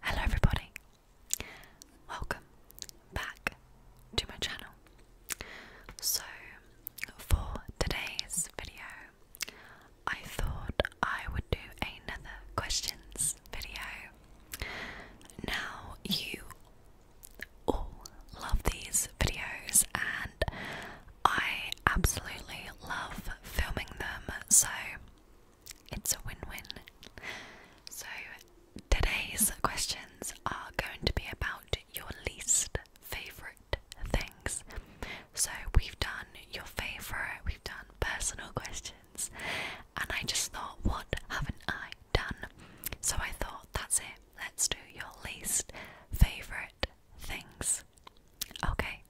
Hello, everybody. Welcome back to my channel. So, for today's video, I thought I would do another questions video. Now, you all love these videos and I absolutely love filming them, so it's a win win. So, today's questions are going to be about your least favourite things. So, we've done your favourite, we've done personal questions, and I just thought, what haven't I done. So I thought, that's it, let's do your least favourite things. Okay,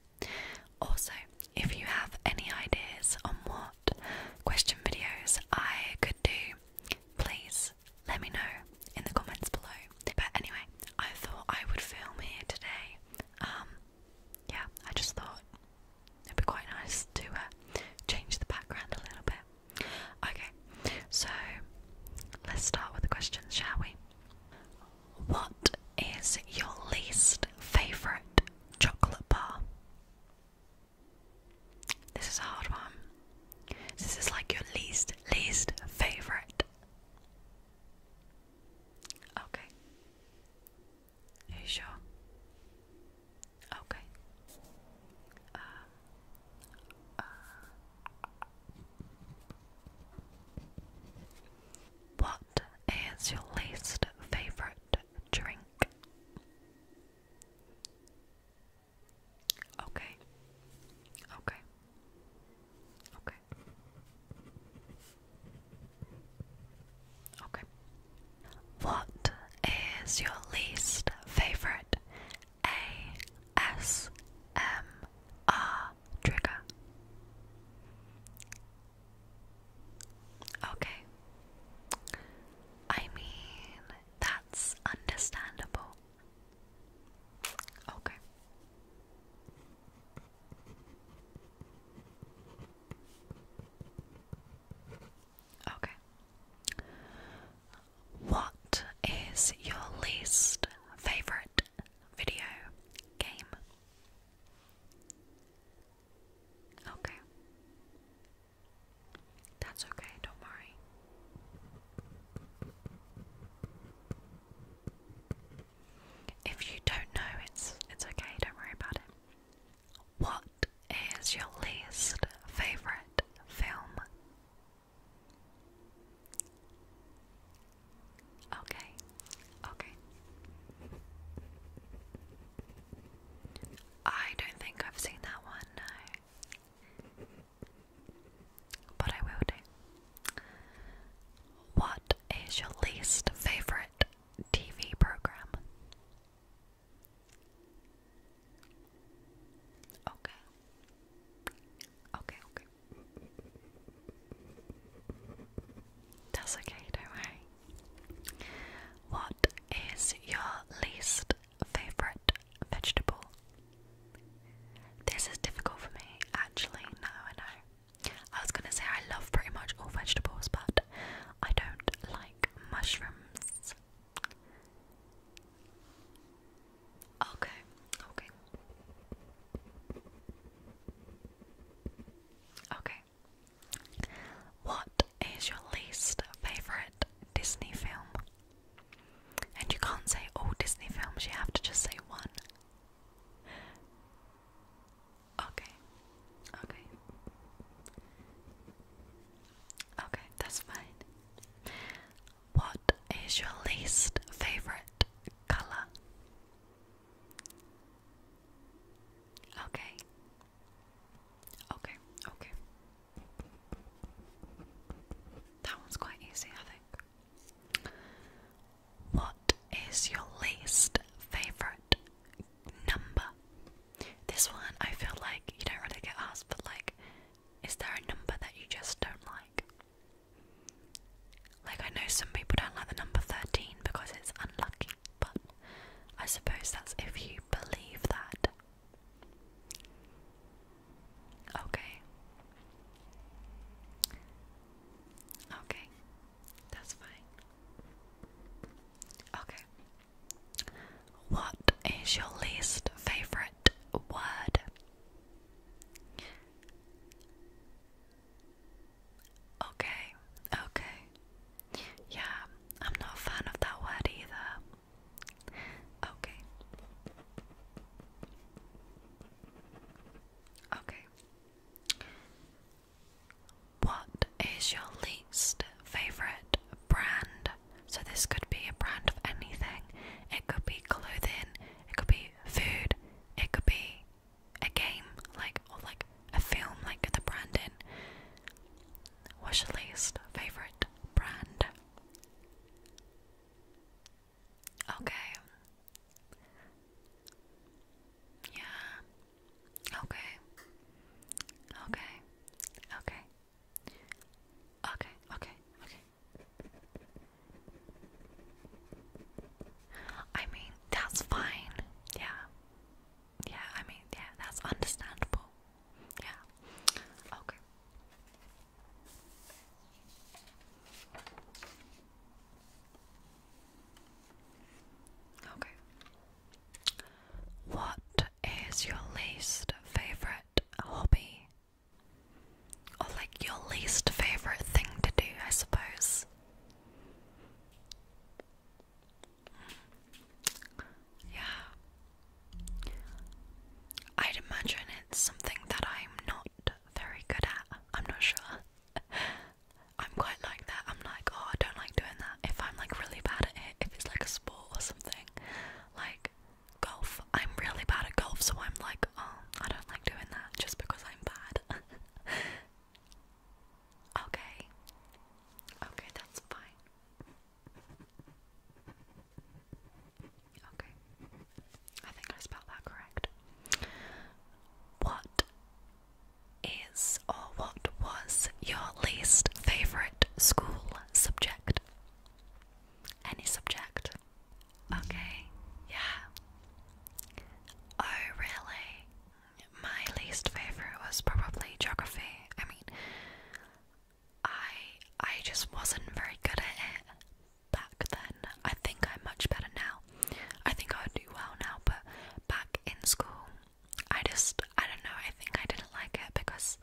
also, if you have any ideas on what question videos I could do, please let me know in the comments below. But anyway, I thought I would film here today. Um, yeah, I just thought it'd be quite nice to uh, change the background a little bit. Okay, so let's start with the questions, shall we? What is your least favourite chocolate bar? This is a hard one. This is like your least, least favourite. Okay. Are you sure? Okay. Uh, uh, what is your least favorite drink? Okay. Okay. Okay. Okay. What is your least favorite ASMR trigger? Okay. I mean, that's understandable. Okay. Okay. What is your least favorite video game? Okay. That's okay, don't worry. If you don't know, it's it's okay, don't worry about it. What what is your least favorite film? Okay, okay. I don't think I've seen that one, no. But I will What is your least favorite TV program? Okay. Okay, okay. That's okay, don't worry. What is your least favorite vegetable? This is difficult for me, actually. No, I know. I was gonna say I love pretty much all vegetables, but I don't like mushrooms. Okay, okay. Okay. What is your least favorite Disney film? And you can't say all Disney films, you have to just say one. Okay. Okay. Okay, that's fine. What is your least favorite color? Okay. Okay, okay. That one's quite easy, I think. What is your least favorite number? This one, I feel like you don't really get asked, but like, is there a number that you just don't like? Like, I know some people don't like the number 13 because it's unlucky, but I suppose that's if you believe that. Okay. Okay. That's fine. Okay. What is your least favorite word? Okay, okay. Yeah, I'm not a fan of that word either. Okay. Okay. What is your least favorite brand? So this could be a brand of anything. It could be clothing, it could be food, it could be a game, like or like a film, like the branding. What's your least favorite brand? Okay. Yeah. Okay. Okay. Okay. Okay, okay, okay. I mean, that's fine. Yeah. Yeah, I mean, yeah, that's understandable. Yeah. Okay. Okay. What is your least favorite hobby? Or, like, your least favorite thing to do, I suppose. Yeah. I'd imagine it's something that I'm not very good at. I'm not sure. I'm quite like that. I'm like, oh, I don't like doing that. If I'm like really bad at if it's like a sport or something. Like golf. I'm really bad at golf, so I'm like, oh, I don't like doing that just because I'm bad. okay. Okay, that's fine. Okay. I think I spelled that correct. What is or what was your least favorite school subject? Any subject? Okay, yeah. Oh, really? My least favorite was probably geography. I mean, I I just wasn't very good at it back then. I think I'm much better now. I think I would do well now, but back in school, I just, I don't know, I think I didn't like it because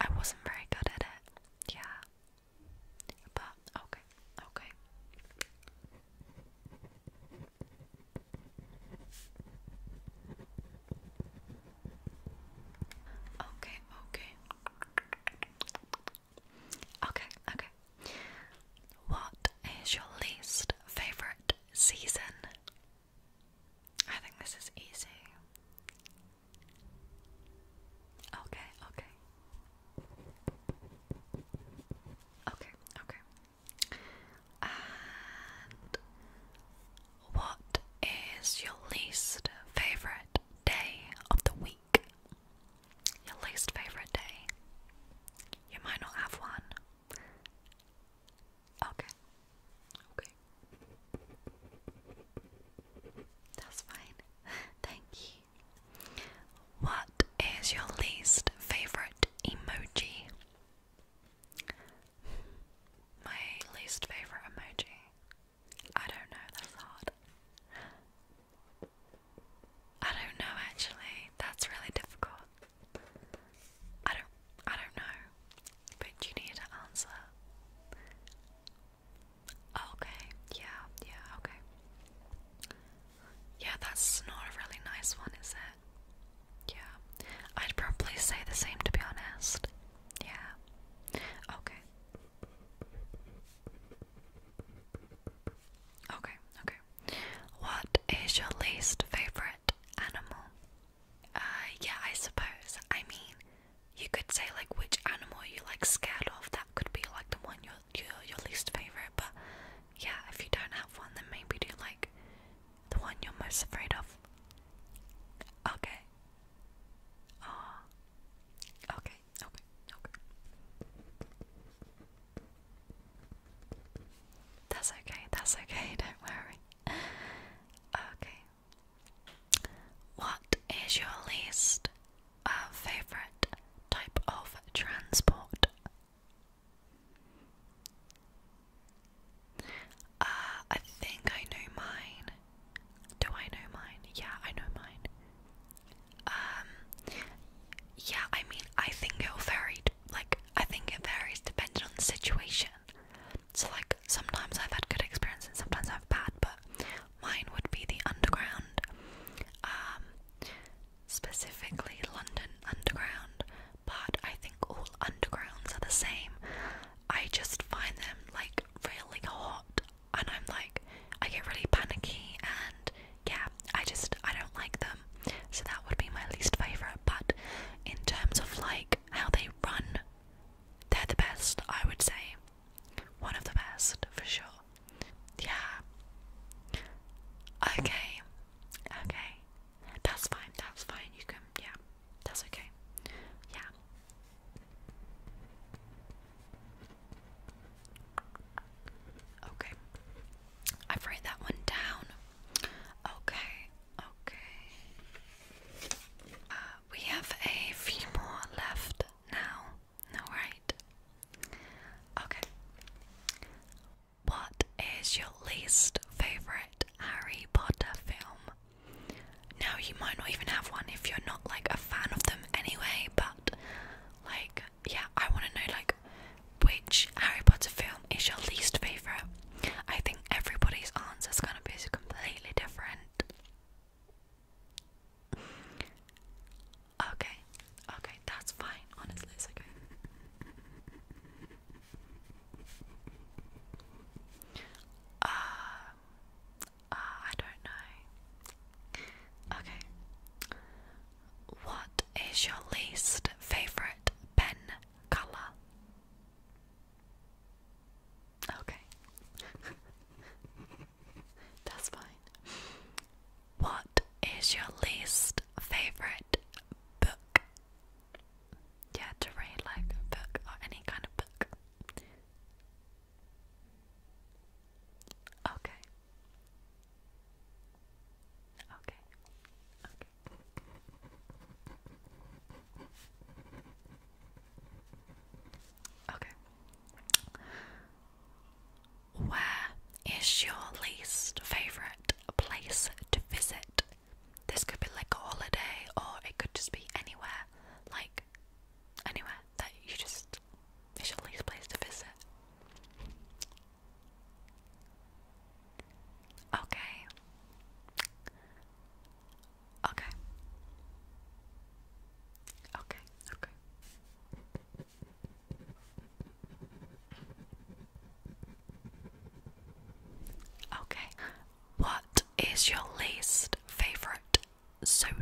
I wasn't very good at it. Yeah. But, okay, okay. Okay, okay. Okay, What is your least favorite season? I think this is easy. Okay, okay. Okay, okay. And what is your least favorite day of the week? Your least favorite day? You might not have one. Okay, Okay. That's fine. Thank you. What is your least favorite emoji? My least favorite emoji. I don't know, that's hard. I don't know actually. That's really difficult. I don't I don't know, but you need to answer. Oh, okay, yeah, yeah, okay. Yeah, that's not a really nice one, is it? Yeah. I'd probably say the same to be honest. Yeah. Okay. Okay, okay. What is your least favorite animal? Uh, yeah, I suppose. I mean, you could say like which animal you like scared of. That could be like the one you're your your least favorite. But yeah, if you don't have one, then maybe do like the one you're most afraid of. Okay. Oh. Okay. Okay. Okay. That's okay. That's okay. Don't worry okay. What is your least uh, favorite type of transport? Uh, I think I know mine. Do I know mine? Yeah, I know mine. Um, yeah, I mean, I think it'll Like, I think it varies depending on the situation. So like sometimes I've had good experiences, sometimes I've had bad, but mine would be the underground, um, specifically London Underground. But I think all undergrounds are the same. I just find them like really hot, and I'm like, I get really panicky, and yeah, I just I don't like them. So that would be my least favorite. But in terms of like how they run, they're the best, I would say. One of the best, for sure. Yeah. Okay. Okay. That's fine, that's fine. You can, yeah. That's okay. Yeah. Okay. I've written that one down. Okay, okay. Uh, we have a few more left now. All right. Okay. What is your least favorite Harry Potter film? Now you might not even have one if you're not like a fan of them anyway, but like yeah, I want to know like which Harry Potter film is your least favourite? I think everybody's answer is going to be completely different. Okay, okay, that's fine. Honestly, okay. Uh, uh, I don't know. Okay. What is your least favourite pen color. Okay. That's fine. What is your least favorite book? Yeah, to read like book or any kind of book. Okay. Okay. Okay. Okay. Where is your least favorite place to visit? This could be like a holiday or it could just be anywhere. Like anywhere that you just is your least place to visit. Okay. Okay. Okay. Okay. Okay. What is your least favorite soda?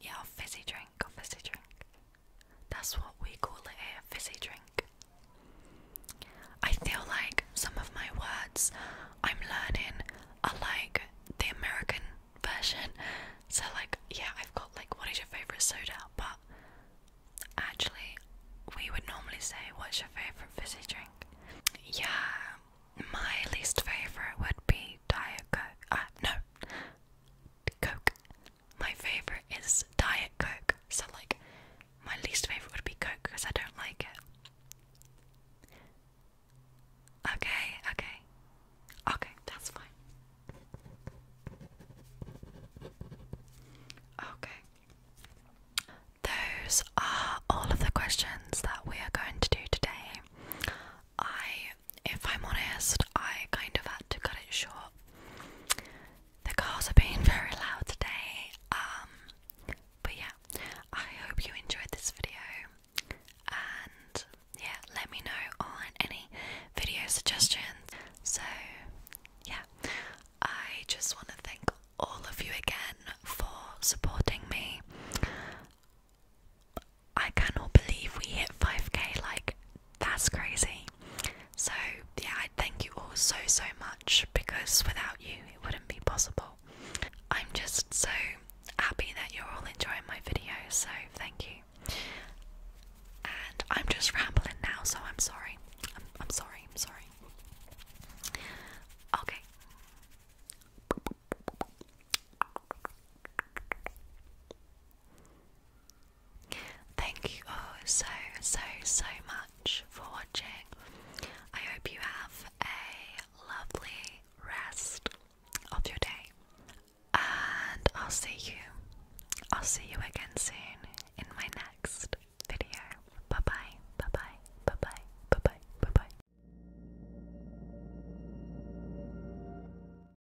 Yeah, a fizzy drink, a fizzy drink. That's what we call it here, fizzy drink. I feel like some of my words I'm learning are like the American version. So, like, yeah, I've got like, what is your favourite soda? But actually, we would normally say, what's your favourite fizzy drink? Yeah, my least favourite would be Diet Coke. Uh, no, Coke. My favorite is Diet Coke. So like my least favorite would be Coke because I don't like it. Okay, okay. Okay, that's fine. Okay. Those are all of the questions that we are going to do today. I if I'm honest, I kind of had to cut it short. The cars are being very loud today. Um, but yeah, I hope you enjoyed this video. And yeah, let me know on any video suggestions. So yeah, I just want to thank all of you again for supporting me. I cannot believe we hit 5k, like, that's crazy. So, yeah, I thank you all so, so much because without you, it wouldn't be possible. I'm just so happy that you're all enjoying my video, so thank you. And I'm just rambling now, so I'm sorry. I'm, I'm sorry, I'm sorry. Okay. Thank you all oh, so, so, so much for watching. I hope you have a lovely rest of your day. And I'll see you. I'll see you again soon in my next video. Bye bye, bye bye, bye bye, bye bye, bye bye.